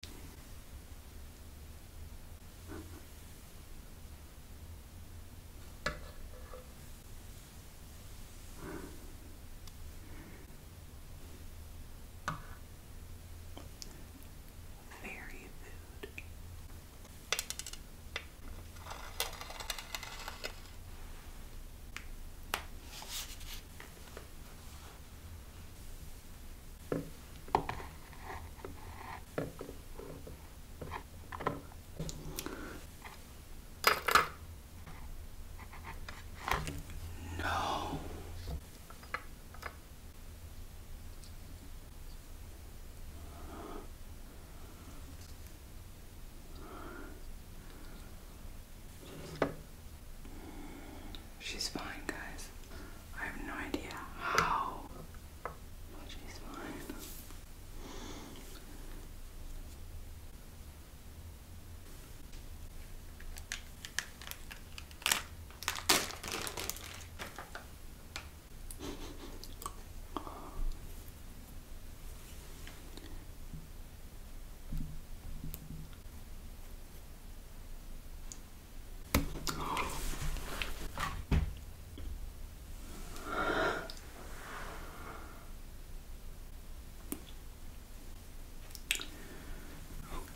Fairy food. No. She's fine, guys. I have no idea how. Oh, she's fine.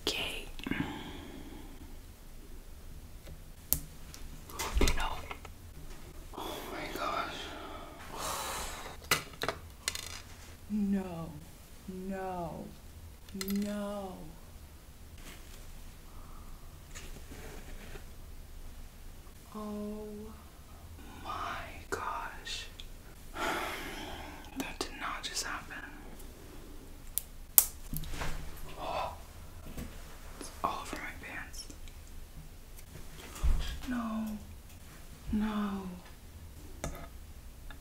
Okay. No. Oh my gosh. No. No. No. Oh my gosh. That did not just happen. all over my pants. No. No.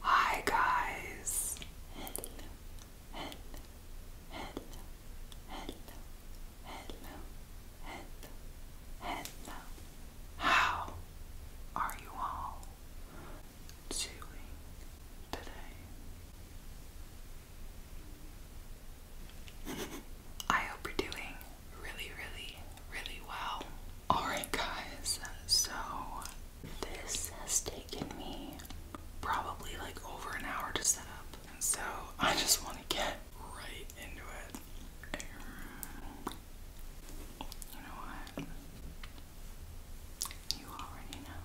Hi guys. Hello. Hello. Hello. Hello. Hello. Hello. Hello. How are you all doing today? I hope you're doing really, really, really well. Alright, guys, so this has taken me probably like over an hour to set up, so I just want to get right into it. Um, you know what? You already know.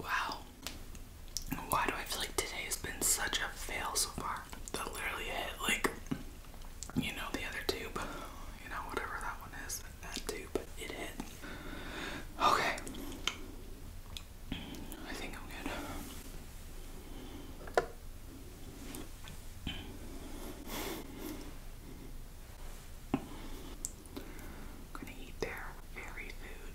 wow. Why do I feel like today has been such a fail so far? That literally hit like you know the other tube. You know, whatever that one is, that tube. It hit. Okay. I think I'm good. I'm gonna eat their very food.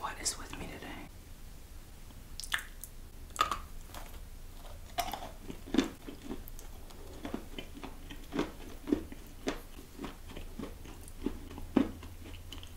What is with me today?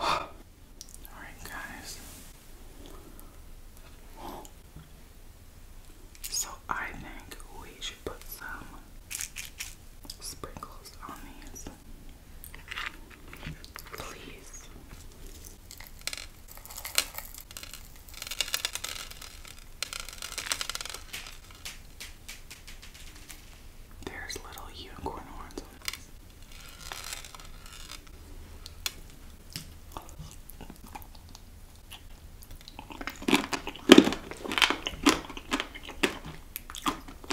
All right, guys. So I think we should put some sprinkles on these. Please. There's little unicorn horns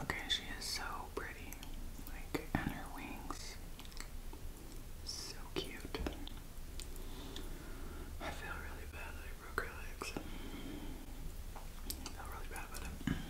Okay, she is so pretty. Like, and her wings. So cute. I feel really bad that I broke her legs. feel really bad about it.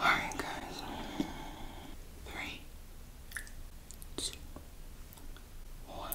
Alright, guys. Three, two, one.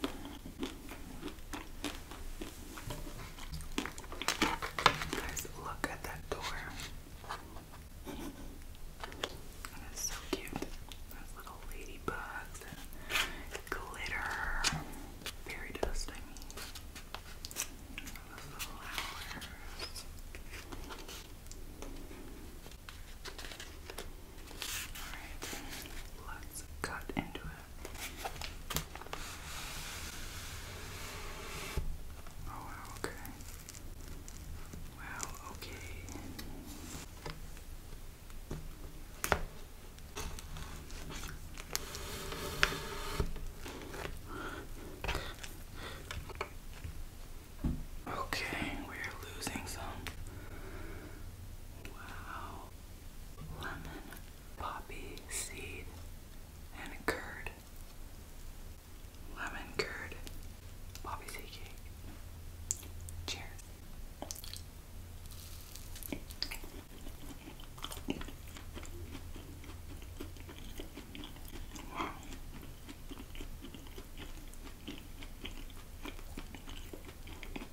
Guys, look at that door. That is so cute. Those little ladybugs glitter. Fairy dust, I mean. flowers. Alright, let's cut into it. Oh, wow, okay. Wow, okay. Okay, we're losing some. Wow. Lemon poppy seed, and curd. Lemon curd, poppy seed cake. Cheers.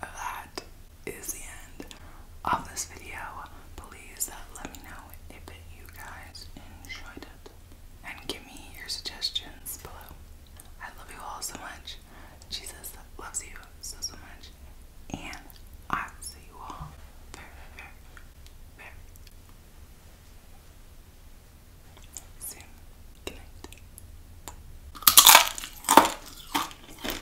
that is the end of this video. Please let me know if you guys enjoyed it. And give me your suggestions below. I love you all so much. Jesus loves you so, so much. And I will see you all very, very, very soon. Good